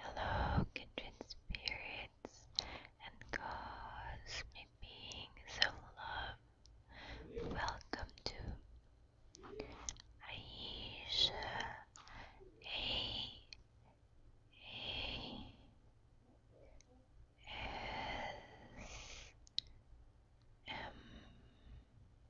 Hello, kindred spirits and cosmic beings of love. Welcome to Aisha A A S M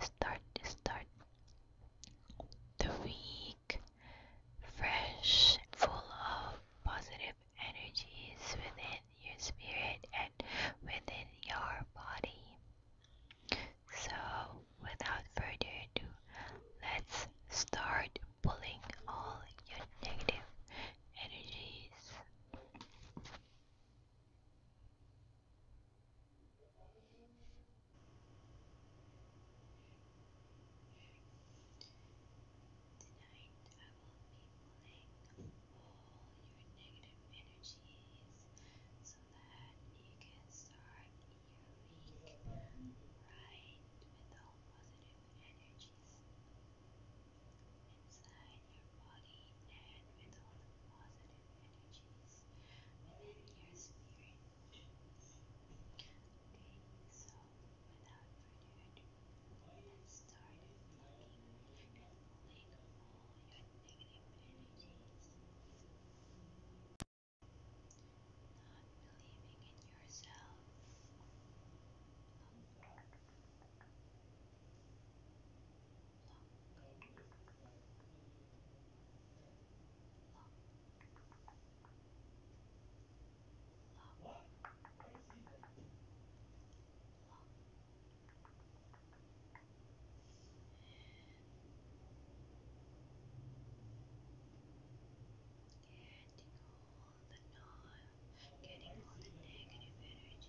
start, start, the week fresh, full of positive energies within your spirit and within your body. So, without further ado, let's start pulling all your negative energies. Tonight, I will be pulling all your negative energies so that you can start your week with all positive energies inside your body and with all the positive energies within your spirit. Okay, so without further ado, let's start plucking and pulling all your negative energies. Not believing in yourself. Okay. Getting all the negative energies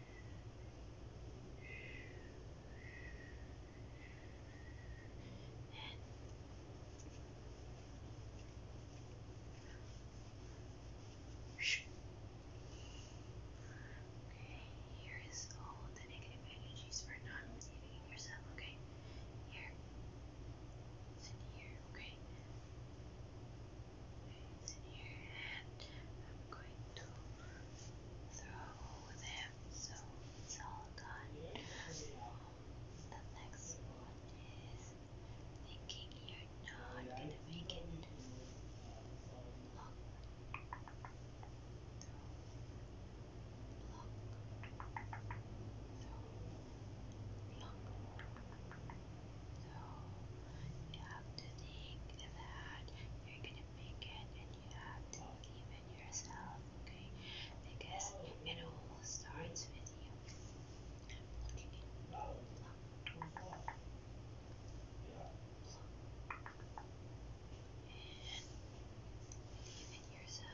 Okay, here is all the negative energies for not believing in yourself. Okay, here. It's here, okay things here and I'm going to throw them so it's all done. the next one is thinking you're not gonna make it block block Block. So you have to think that you're gonna make it and you have to believe in yourself, okay? Because it all starts with you. Believe in yourself. Believe in yourself.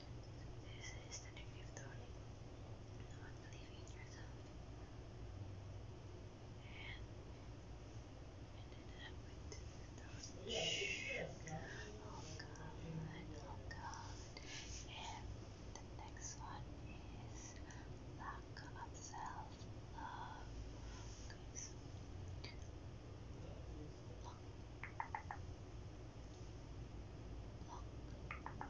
This is the negative thought. Not believe yourself. And ended up with the thought. Oh God, oh God. And the next one is lack of self love. Lock. You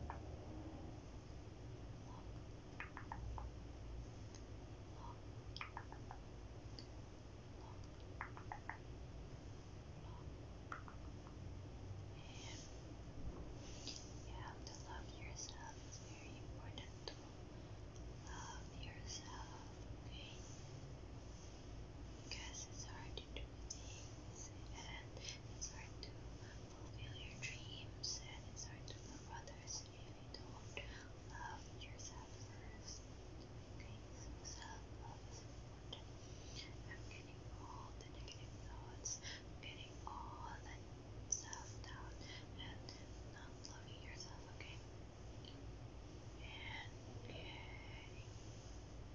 have to love yourself, it's very important to love yourself, okay? because it's hard to do things and it's hard to fulfill your dreams and it's hard to love others if you don't love yourself first. Okay, so self love is important. I'm getting all the negative thoughts, I'm getting all that self doubt, and not loving yourself, okay? And getting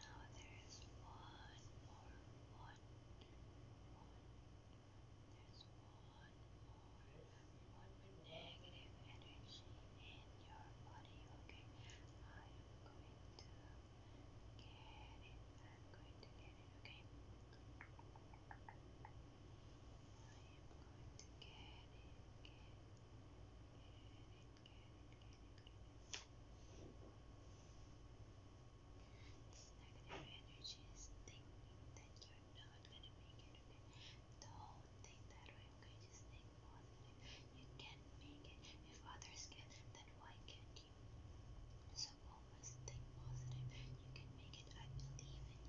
Now there is one more, one, one. There's one more, negative energy in your body. Okay, I am going to get it. I'm going to get it. Okay, I am going to Get it. This negative energy is thinking you're not gonna make it, Don't think that way, okay? Just think positive. You can make it. If others can, then why can't you? So always think positive. You can make it. I believe in you.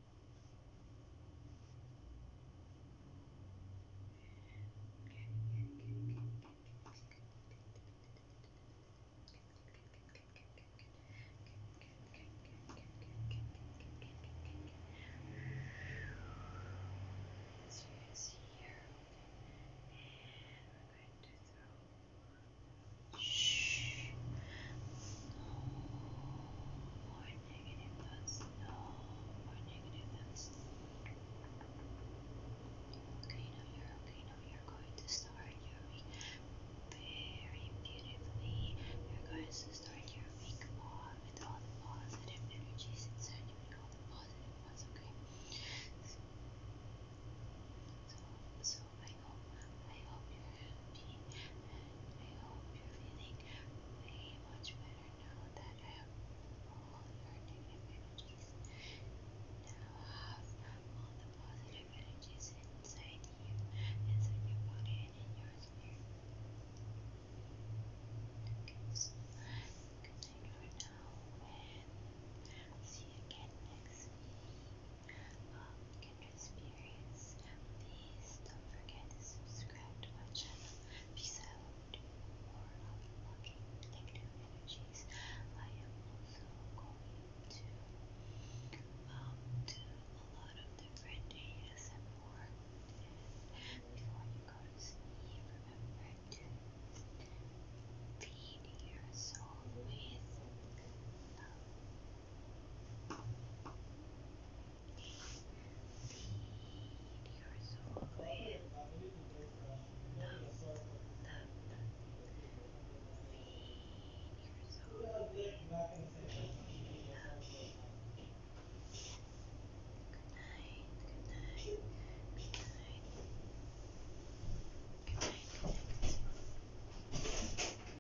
As you can see here, and we're going to throw. Shh. No more negative thoughts. No more negative thoughts. Okay, now you're okay. Now you're going to start your week very beautifully. You're going to start your week off with all the positive energies inside you and all the positive ones, okay? So, so I hope, you're happy, I hope you're feeling way much better now that I have all your negative energies. Now have all the positive energies inside you, inside your body, and in your spirit. Okay, good night for now, and see you again next week um, can experience. Please don't forget to subscribe to my channel because I will do more unlocking negative energies. I am also going to um, do a lot of different ASMR. And before you go to sleep, remember to feed your soul with love. Feed your soul with love, love. Feed your Good night, good night, good night. Good night, good night.